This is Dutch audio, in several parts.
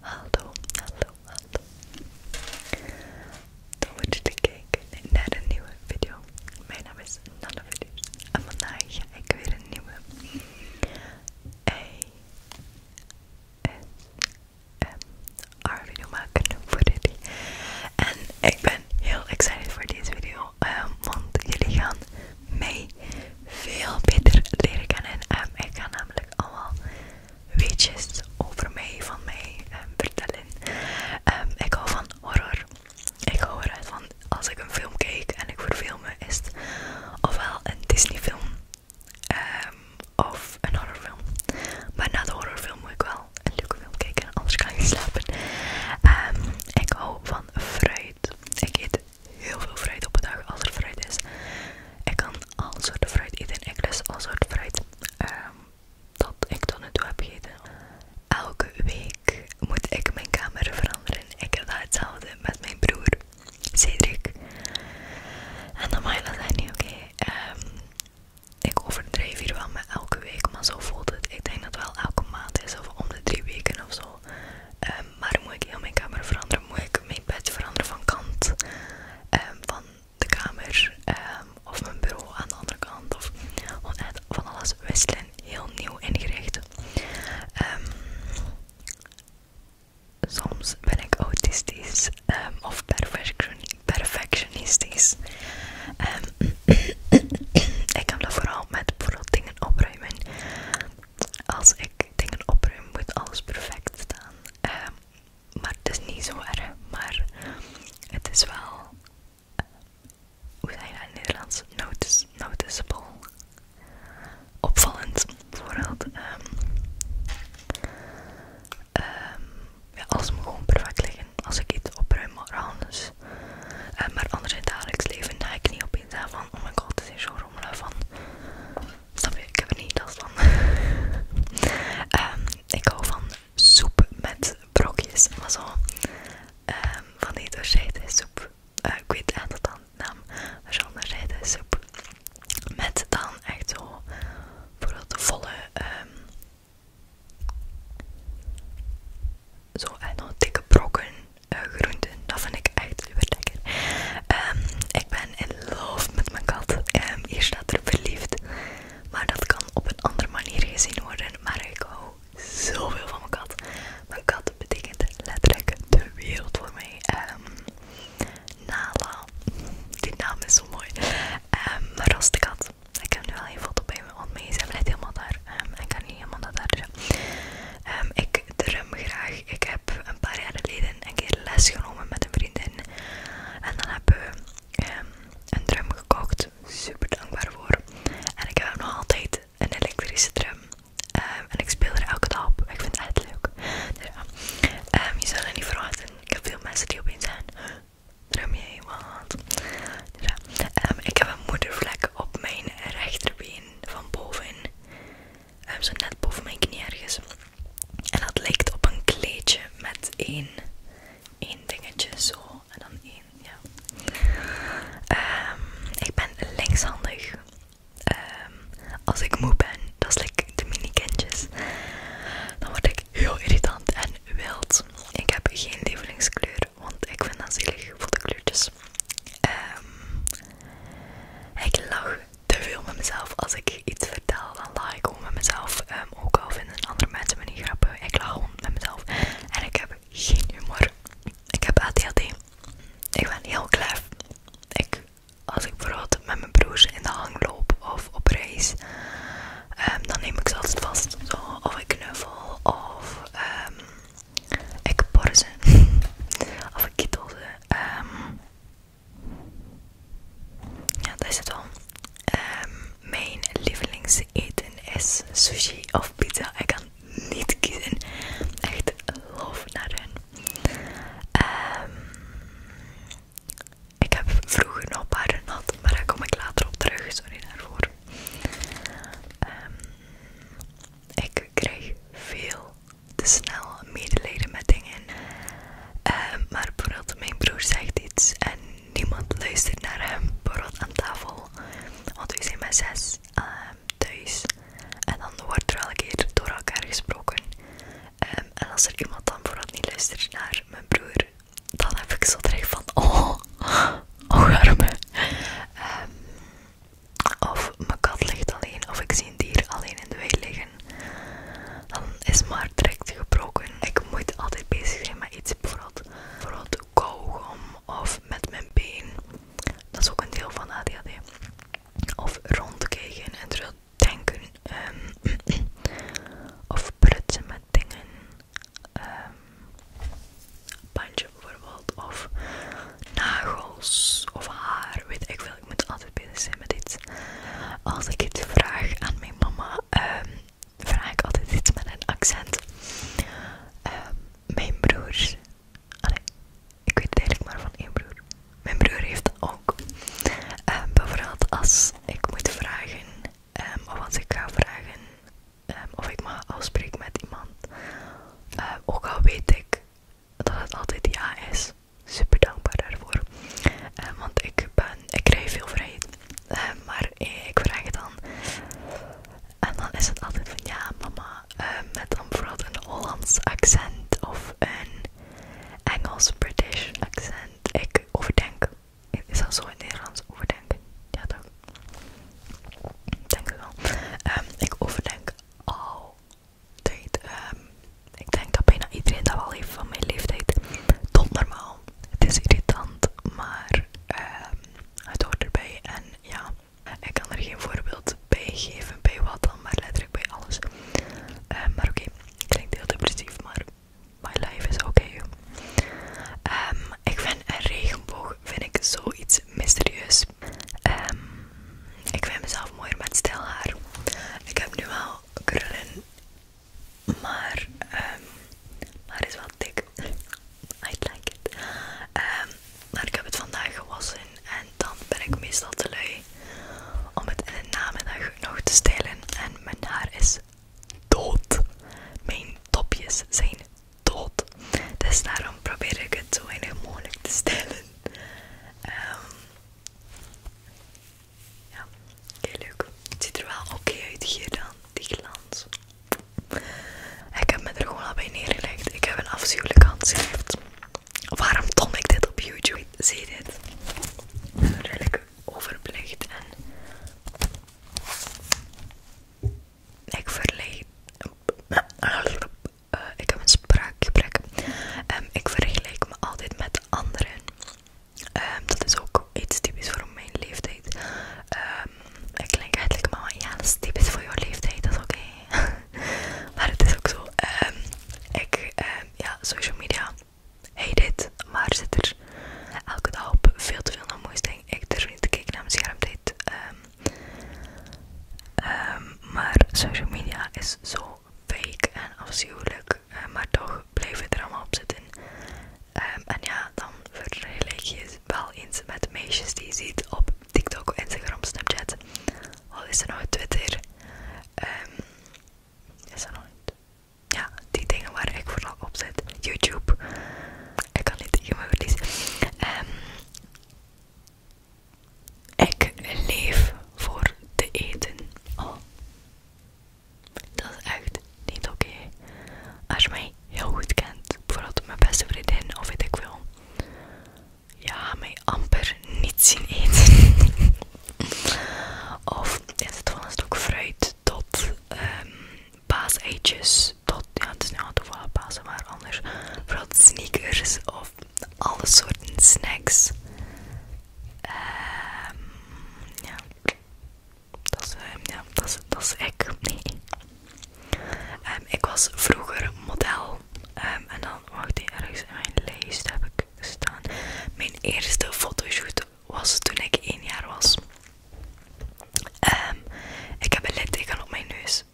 Hallo, hallo, hallo. Tof dat jullie kijken naar een nieuwe video. Mijn naam is Nanne Videos en vandaag ga ik weer een nieuwe S R video maken voor jullie. En ik ben heel excited voor deze video, ehm, want jullie gaan mij veel beter leren kennen. Ehm, ik ga namelijk allemaal weetjes over mij, van mij ehm, vertellen. Ehm, ik hou van horror. Ik hou eruit van als ik een film kijk en ik verveel me, is het ofwel een Disney-film ehm, of een horrorfilm. Maar na de horrorfilm moet ik wel een leuke film kijken, anders kan ik slapen. ik hou van fruit. Ik eet heel veel fruit op een dag als er fruit is. Ik kan al soorten fruit eten. Ik lust al soort fruit dat ehm, ik tot nu toe heb gegeten. Elke week moet ik mijn kamer veranderen. Ik heb daar hetzelfde met mijn broer Cedric. En dan mag je dat oké. Ehm, ik overdrijf hier wel met elke week, maar zo voelt het. Ik denk dat het wel elke maand is of om de drie weken of zo. Ehm, maar moet ik heel mijn kamer veranderen, moet ik mijn bed veranderen van kant ehm, van de kamer ehm, of mijn bureau aan de andere kant of van alles wisselen, heel nieuw ingericht. Ehm, soms ben ik autistisch of perfectionistisch. ik kan dat vooral met bijvoorbeeld dingen opruimen als ik dingen opruim moet alles perfect staan. Ehm, maar het is niet zo erg, maar het is wel, hoe zeg je in het Nederlands, noticeable, opvallend. Bijvoorbeeld, ehm, ehm, ja, alles moet gewoon perfect liggen als ik iets opruim, maar anders. maar anders in het dagelijks leven ga ik niet opeens aan van, oh mijn god, het is zo rommelig van, Snap je? Ik heb er niet dat van. Ehm, ik hou van soep met brokjes. Maar zo ehm, van die doorzeide soep. Eh, ik weet eigenlijk dat dan de naam. Maar zo'n soep. Met dan echt zo voor de volle. Ehm, zo en eh, nog dikke brokken eh, groenten. Dat vind ik echt super ehm, ik ben in love met mijn kat. Eerst ehm, hier staat er verliefd. Maar dat kan op een andere manier gezien worden. Maar ik hou zoveel van mijn kat. Mijn kat betekent letterlijk de wereld voor mij. Ehm, Nala. Die naam is zo mooi. Um, maar kat. Ik heb nu al een foto bij me, want mij is helemaal daar. ik kan niet helemaal naar daar. Um, ik drum graag. Ik heb heb een paar jaar geleden een keer les genomen met een vriendin. En dan hebben we ehm, een drum gekocht. Super dankbaar voor. En ik heb nog altijd een elektrische drum. Ehm, en ik speel er elke dag op. Ik vind het echt leuk. Dus ja. Ehm, je zal er niet verwachten. Ik heb veel mensen die opeens zijn. Drum jij wat? Dus ik heb een moedervlek op mijn rechterbeen van boven zo net boven mijn knie ergens. En dat lijkt op een kleedje met één, dingetje zo en dan één, ja. Ehm, ik ben linkshandig. Ehm, als ik moe ben, dat is ik de mini kindjes, dan word ik heel irritant en wild. Ik heb geen lievelingskleur, want ik vind dat zielig voor de kleurtjes. Ehm, ik lach te veel met mezelf. Als ik iets vertel, dan laat ik gewoon met mezelf. Ehm, ook al vinden andere mensen me niet grappig. Ik lach gewoon met mezelf. En ik heb geen humor. Ik heb ADHD. Ik ben heel klef. Ik, als ik bijvoorbeeld met mijn broers in de hang loop of op reis, ehm, dan neem ik ze altijd vast. of ik knuffel, of um, ik borzen, of ik kittel ze. Ehm, ja, dat is het al. Ehm, mijn lievelingseten is sushi of pizza. Ik kan niet kiezen. Echt love naar hun. Ehm, ik heb vroeger nog een paar gehad, maar daar kom ik later op terug. Sorry daarvoor. ik kreeg veel te snel medelijden met dingen. Ehm, maar vooral mijn broer zegt iets en niemand luistert naar hem. vooral aan tafel. Want we zijn met zes ehm, thuis. En dan wordt er elke keer door elkaar gesproken. Ehm, en als er iemand dan vooral niet luistert naar mijn broer, dan heb ik zo direct van oh, oh arme. Ehm of mijn kat ligt alleen of ik zie een dier alleen in de wei liggen, dan is maar direct gebroken. Ik moet altijd bezig zijn met iets, bijvoorbeeld, bijvoorbeeld kauwgom of met mijn been. Dat is ook een deel van ADHD. Of rondkijken en terugdenken. denken ehm, of prutsen met dingen. Um, bandje bijvoorbeeld. Of nagels of haar. Weet ik veel, ik moet altijd binnen zijn met dit. Als ik het vraag aan mijn mama, ehm, vraag ik altijd iets met een accent. Ehm, mijn broer. ik weet eigenlijk maar van één broer. Mijn broer heeft dat ook. Ehm, bijvoorbeeld als ik moet vragen, of als ik ga vragen of ik mag afspreken met iemand. Eh, ook al weet ik dat het altijd ja is. Super dankbaar daarvoor. Eh, want ik, ben, ik krijg veel vrijheid. Eh, maar ik vraag het dan. En dan is het altijd van ja, mama. Eh, met dan bijvoorbeeld een Hollands accent of een Engels-British accent. Ik overdenk. Is dat zo in Nederlands? Overdenken. Ja, toch? Denk wel. Ehm, ik overdenk al Um, ik denk dat bijna iedereen dat wel heeft van mijn leeftijd. Tot normaal. Het is irritant, maar ehm, het hoort erbij. En ja, ik kan er geen voorbeeld bij geven bij wat dan, maar letterlijk bij alles. Ehm, maar oké, ik klinkt heel depressief, maar my life is oké. Okay. ik vind een regenboog vind ik zoiets mysterieus. Ehm, ik vind mezelf mooi met stijl haar. Ik heb nu al krullen, maar, ehm, maar is wel dik. I like it. Ehm, maar ik heb het vandaag gewassen en dan ben ik meestal te lui om het in de namiddag nog te stelen. En mijn haar is dood. Mijn topjes zijn tot. Dus daarom probeer ik het zo weinig mogelijk te stellen. Ehm. ja, heel leuk. Het ziet er wel oké uit hier dan, die glans. Ik heb me er gewoon al bij neergelegd. Ik heb een afschuwelijk handschrift. Waarom tom ik dit op YouTube? Zie dit? Redelijk overbelicht en ik verleid uh, ik heb een spraakgebrek. Ehm, ik vergelijk me altijd met anderen. Um, dat is ook iets typisch voor mijn leeftijd. Um, ik klink eigenlijk maar ja, dat is typisch voor jouw leeftijd, dat is oké. maar het is ook zo. Um, ik, um, ja, social media, heet dit, maar zit er elke dag op veel te veel naar moeite. Ik durf niet te kijken naar mijn schermtijd. Um, Ehm, maar social media is zo fake en afschuwelijk, eh, maar toch blijf ik er allemaal op zitten. Ehm, en ja, dan ik je wel eens met meisjes die je ziet op TikTok, Instagram, Snapchat. Al is er nog Twitter. Ehm, is er nog Ja, die dingen waar ik vooral op zit. YouTube. Ik kan niet tegen mijn verlies. Ehm ik leef voor te eten. Oh. Dat is echt niet oké. Als je mij heel goed kent, bijvoorbeeld mijn beste vriendin of weet ik veel. Ja, mij amper niet zien eten. of is het van een stuk fruit tot baas ehm, paaseitjes tot, ja het is nu al toevallig Pasen, maar anders vooral sneakers of alle soorten snacks. Ehm ja, dat is, ehm, ja, dat is, dat is ik. Nee. Ehm, ik was vroeger model ehm, en dan, wacht die ergens in mijn lijst heb ik staan. Mijn eerste fotoshoot was toen ik één jaar was. Ehm ik heb een litteken op mijn neus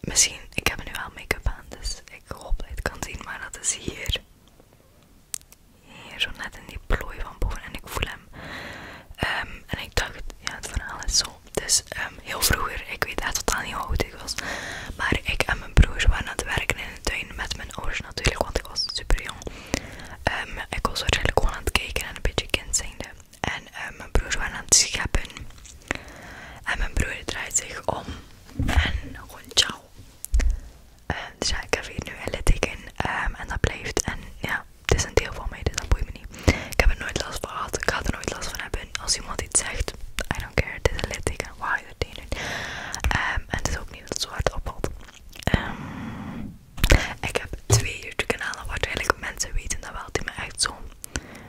misschien, ik heb nu wel make-up aan, dus ik hoop dat je het kan zien, maar dat is hier. Hier, zo net in die plooi van boven en ik voel hem. Ehm, en ik dacht, ja, het verhaal alles zo. Dus ehm, heel vroeger, ik weet echt totaal niet hoe oud ik was. Maar ik en mijn broers waren aan het werken in de tuin met mijn ouders natuurlijk, want ik was super jong. Ehm, ik was waarschijnlijk gewoon aan het kijken en een beetje kind zijnde en eh, mijn broer waren aan het scheppen. En mijn broer draait zich om en gewoon ciao. Eh, dus ja, ik heb hier nu een litteken ehm, en dat blijft. En ja, het is een deel van mij, dus dat boeit me niet. Ik heb er nooit last van gehad, ik ga er nooit last van hebben. Als iemand iets zegt, I don't care, het is een litteken, Waar je doing it. niet? Ehm, en het is ook niet dat het zo hard opvalt. Ehm, ik heb twee YouTube-kanalen, waar waarschijnlijk mensen weten dat wel, die me echt zo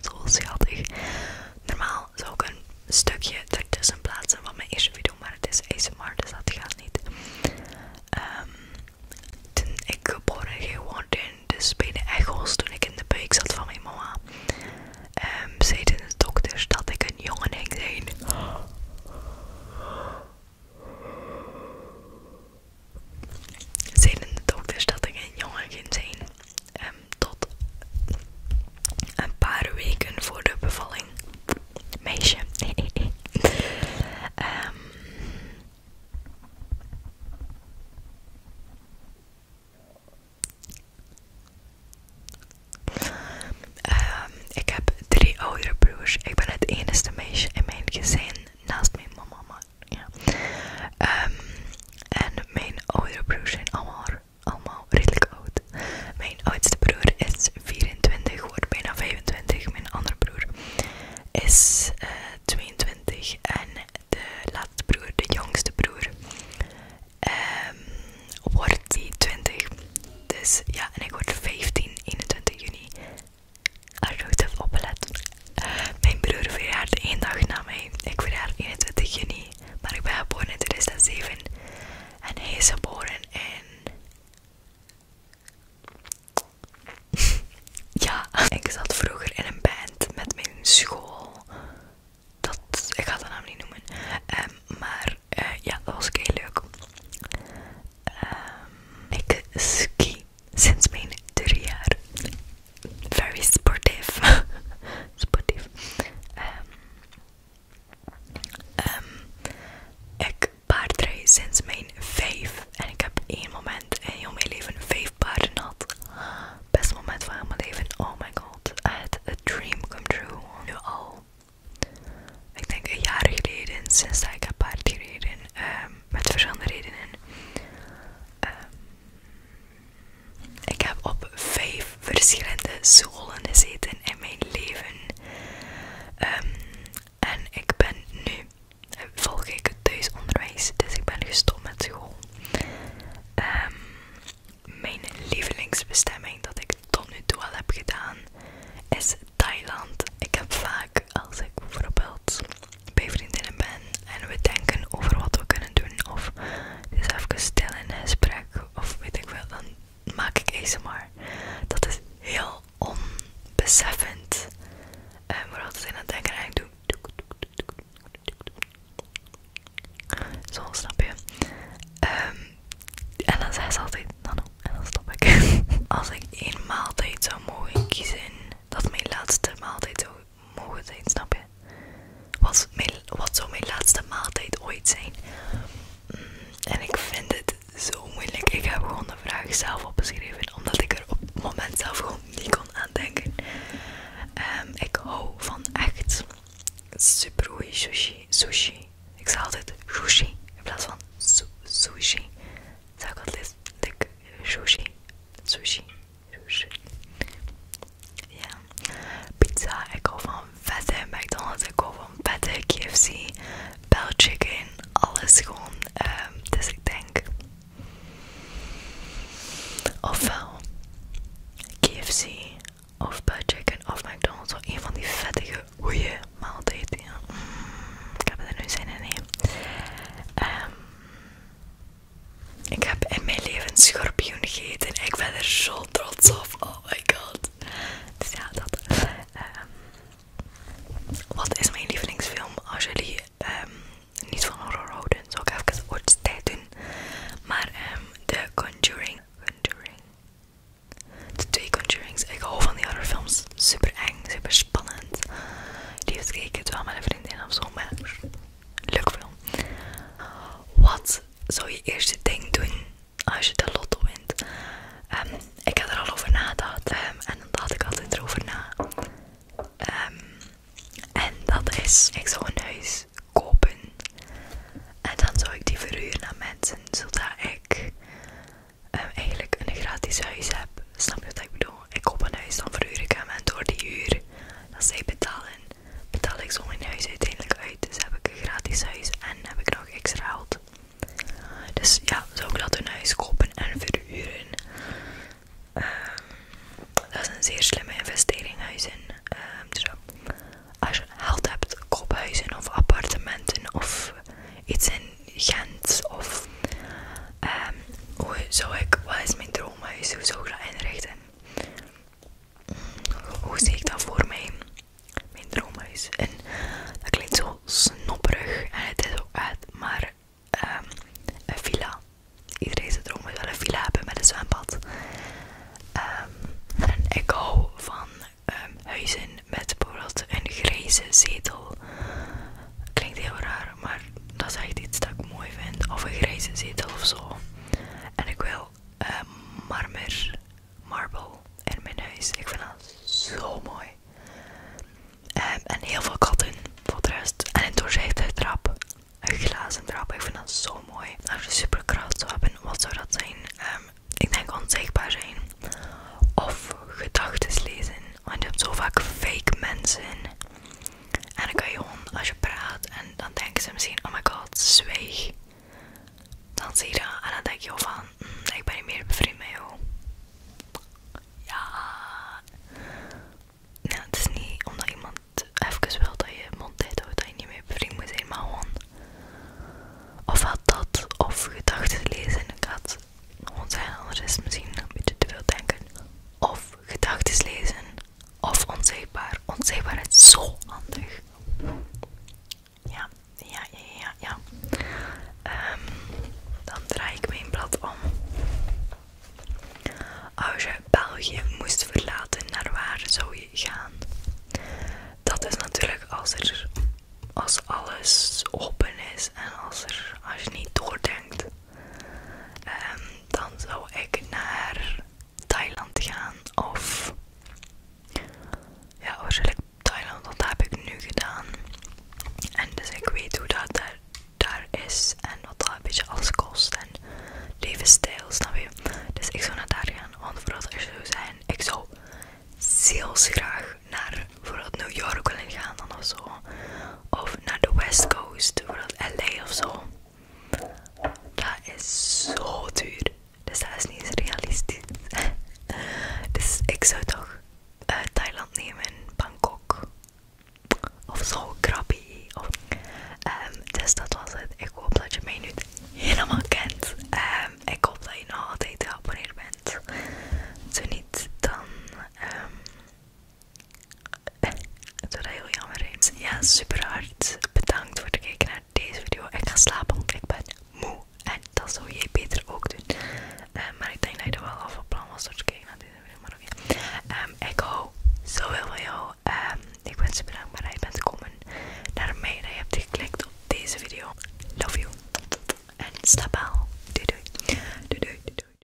zo schattig. Normaal zou ik een stukje ertussen plaatsen van mijn eerste video, maar het is ASMR, dus dat gaat niet. ehm toen ik geboren ging worden, in dus bij de echoes toen ik in de buik zat van mijn mama, ehm, zeiden de dokters dat ik een jongen ging zijn. Zeiden de dokters dat ik een jongen ging zijn. Ehm, tot een paar weken voor de bevalling. Meisje. Ehm, ehm, ik heb drie oudere broers. Ik ben het enige meisje in mijn gezin naast mijn mama. Ehm, en mijn oudere broers zijn allemaal allemaal redelijk oud. Mijn oudste broer is 24, wordt bijna 25. Mijn andere broer is 22. Eh, en de laatste broer, de jongste broer, ehm, wordt die 20. Dus ja, en ik word 15, 21 juni. Als je goed opgelet. Mijn broer verjaart één dag na mij. Ik verjaar 21 juni. Maar ik ben geboren in 2007 en hij is geboren in. ja, ik zat vroeger in een band met mijn school. Dat, ik ga de naam niet noemen. Ehm, maar eh, ja, dat was heel leuk. Ehm, ik ski sinds mijn drie jaar very sportief. sportief. Ehm, ehm ik paardrij sinds mijn vijf. En ik heb één moment in heel mijn leven vijf paarden gehad. Best moment van mijn leven. Oh my god. Het a dream come true. Nu al. Ik denk een jaar geleden sinds dat ik heb paard gereden. Ehm, met verschillende redenen. Ehm, ik heb op vijf verschillende scholen gezeten in mijn leven. Ehm, en ik ben nu, volg ik het onderwijs, dus ik ben gestopt met school. Ehm, mijn lievelingsbestemming dat ik tot nu toe al heb gedaan is Thailand. Ik heb vaak, als ik bijvoorbeeld bij vriendinnen ben en we denken over wat we kunnen doen. Of is dus even stil in een gesprek. Of weet ik wel, dan maak ik maar. Dat is heel onbeseffend. En we vooral dat ik aan het denken en ik doe. Zo, snap je? en dan zei ze altijd, nano, en dan stop ik. Als ik één maaltijd zou mogen kiezen, dat mijn laatste maaltijd zou mogen zijn, snap je? mijn, wat zou mijn laatste maaltijd ooit zijn? Mm, en ik vind het zo moeilijk. Ik heb gewoon de vraag zelf opgeschreven, omdat ik er op het moment zelf gewoon niet kon aan denken. Ehm, ik hou van echt super sushi. sushi. Ik zeg altijd sushi in plaats van sushi. Zeg ik altijd sushi. Sushi. Ja. Pizza, ik hou van vette McDonald's, ik hou van vette KFC, Bell Chicken, alles gewoon. Ehm, dus ik denk, ofwel KFC of Bell Chicken of McDonald's, of een van die vettige, goede maaltijden. Ja. Mm, ik heb er nu zin in, nee. ehm ik heb in mijn leven een schorpioen gegeten. Ik ben er zo trots op. Oh my god. Dus ja, dat. Ehm, wat is mijn lievelingsfilm? Als jullie ehm, niet van horror houden, zou ik even ooit tijd doen. Maar ehm, de Conjuring. Conjuring. De twee Conjurings. Ik hou van die andere films. Super eng, super spannend. Die gekeken, wel met een vriendin of zo. Maar Leuk film. Wat zou je eerste ding doen als je de lotto wint? Ehm, ik heb er al over nagedacht ehm, en dan dacht ik altijd erover na. Ehm, en dat is, ik zou een huis kopen en dan zou ik die verhuur aan mensen zodat ik eigenlijk een gratis huis heb. Snap je wat ik bedoel? ik koop een huis, dan verhuur ik hem en door die uur dat zij betalen, betaal ik zo mijn huis uiteindelijk uit. Dus heb ik een gratis huis en heb ik nog extra geld. Dus ja, zo ik dat een huis kopen en verhuren. Ehm, dat is een zeer slimme investering, huizen. Ehm, dus als je geld hebt, koop of appartementen of iets in Gent of Ehm, hoe zou ik, wat is mijn droomhuis? Hoe zou ik dat inrichten? Hoe zie ik dat voor mij? Mijn droomhuis. En dat klinkt zo snopperig en het is ook uit, maar ehm, een villa. Iedereen zijn droomhuis is wel een villa hebben met een zwembad. Ehm, en ik hou van huizen met bijvoorbeeld een grijze zetel. Klinkt heel raar, maar dat is echt iets dat ik mooi vind. Of een grijze zetel of zo. En ik wil ehm, marmer, marble in mijn huis. Ik vind dat zo mooi. Ehm, en heel veel katten voor de rest. En een doorzichtige trap. Een glazen trap. Ik vind dat zo mooi. Als je superkracht zou hebben, wat zou dat zijn? Ehm, ik denk onzichtbaar zijn. Of gedachten lezen. Want je hebt zo vaak fake mensen. En dan kan je gewoon, als je praat en dan denken ze misschien, oh my god, zwijg Dan zie je dat en dan denk je van, mm, ik ben niet meer bevriend met jou. Ja. nee het is niet omdat iemand even wil dat je mond dicht houdt, dat je niet meer bevriend moet zijn, maar gewoon. Of had dat, of gedachten lezen. Ik had gewoon zijn, anders is misschien een beetje te veel denken. Of gedachten lezen of onzichtbaar. Onzichtbaar is zo handig. Ja, ja, ja, ja, ja. Ehm, dan draai ik mijn blad om. Als je België moest verlaten, naar waar zou je gaan? Dat is natuurlijk als er als alles open is en als, er, als je niet doordenkt. Ehm, dan zou ik naar Thailand gaan of ja waarschijnlijk Thailand, dat heb ik nu gedaan en dus ik weet hoe dat daar, daar is en wat dat een beetje alles kost en levensstijl, snap je? Dus ik zou naar daar gaan, want vooral als je zou zijn, ik zou zeels graag naar New York willen gaan dan of zo of naar de West Coast, bijvoorbeeld LA of zo. Dat is zo duur. Dus dat is niet realistisch. dus ik zou toch eh, Thailand nemen, Bangkok. Of zo, Krabi. Ehm, dus dat was het. Ik hoop dat je mij nu helemaal kent. Ehm, ik hoop dat je nog altijd geabonneerd bent. Zo niet, dan ehm, het wordt heel jammer eens. Ja, super hard. Bedankt voor het kijken naar deze video. Ik ga slapen, want ik ben moe. En dat zou jij beter ook doen. Eh, maar ik denk dat je er wel af van plan was door te kijken naar deze video. Maar oké. Ehm, ik hou zoveel van jou. Ehm, ik ben super dankbaar dat je bent gekomen naar mij. Dat je hebt geklikt op deze video. Love you. En slaap wel. doe doei. Doei doei.